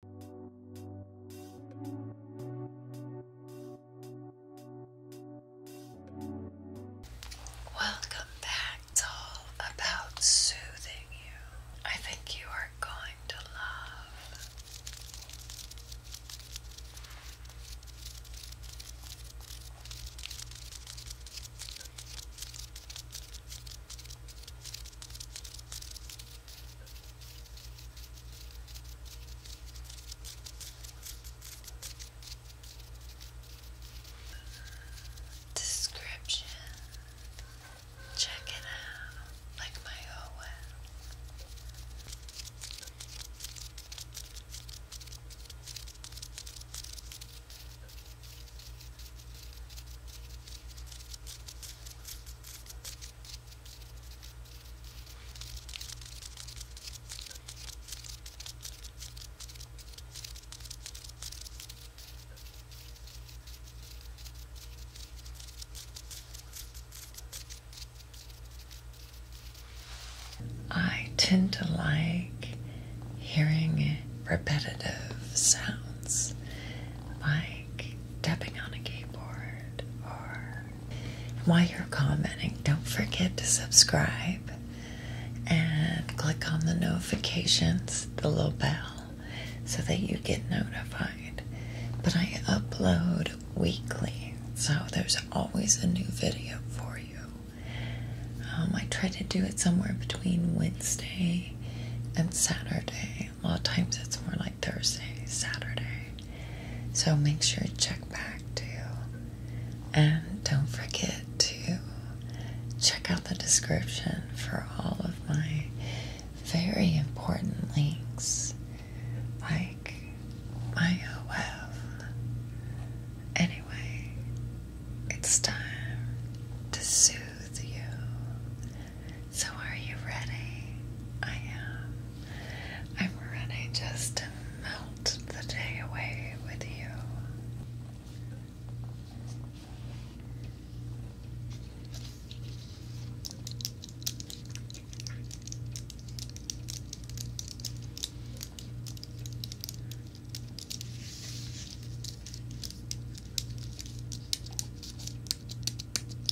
Welcome back. It's all about soothing you. I think you are going to love Description. Check it out, like my Owen. I tend to like hearing repetitive sounds by like tapping on a keyboard or while you're commenting, don't forget to subscribe and click on the notifications, the little bell, so that you get notified. But I upload weekly, so there's always a new video for you. Um, I try to do it somewhere between Wednesday and Saturday. A lot of times it's more like Thursday, Saturday. So make sure to check back too. And don't forget to check out the description for all of my very important links like my Anyway, it's time to soothe. So, are you ready? I am. I'm ready just to melt the day away with you.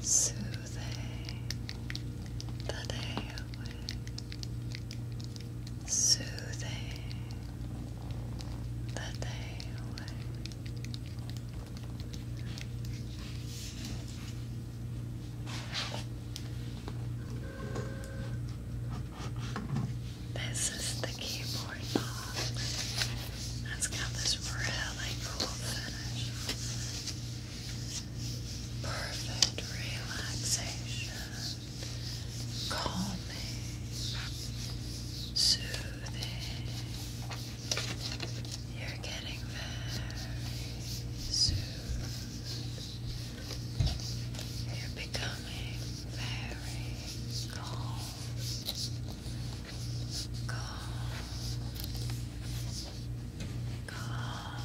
Soothing the day away soothing the day This is the keyboard box. It's got this really cool finish. Perfect relaxation calming, soothing. You're getting very soothed. You're becoming very calm. Calm. Calm.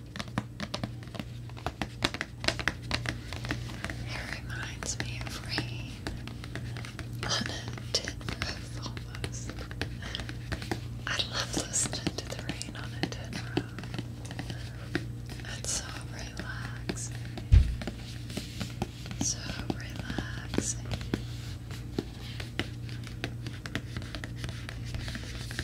It reminds me of rain on a tin roof almost. I love listening to the rain on a tin roof. It's so relaxing. So relaxing.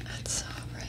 That's so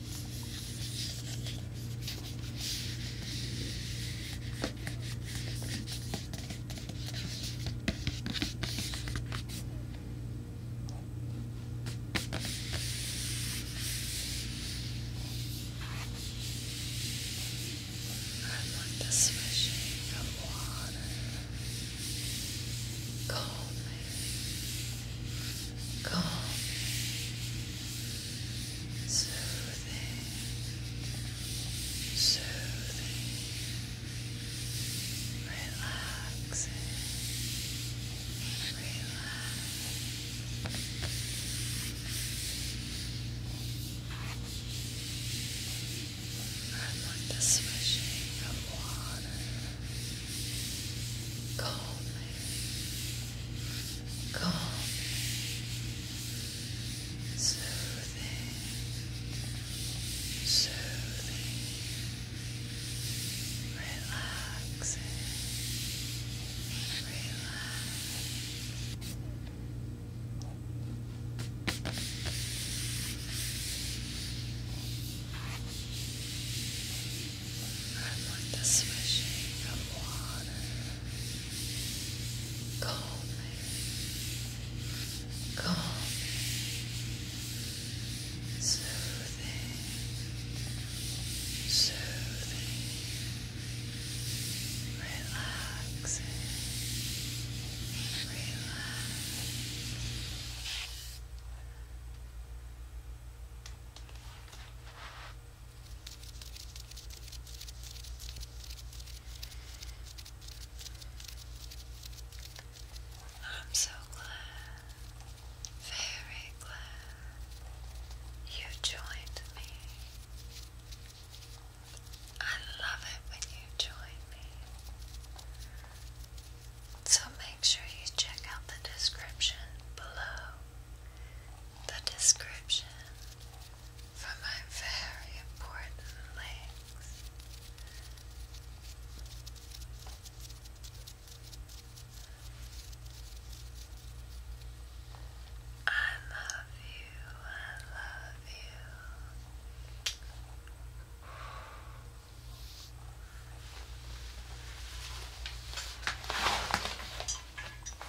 I want the swishing of water calming, calming, soothing, soothing, relaxing, relaxing. I like the swishing of water. Calming, calm, soothing, soothing, relaxing, relax. I want the swishing of water calming, calming, soothing, soothing, relaxing, relaxing. I'm so glad, very glad you joined me. I love it when you join me. So make sure you check out the description below the description for my very important legs. I love you, I love you.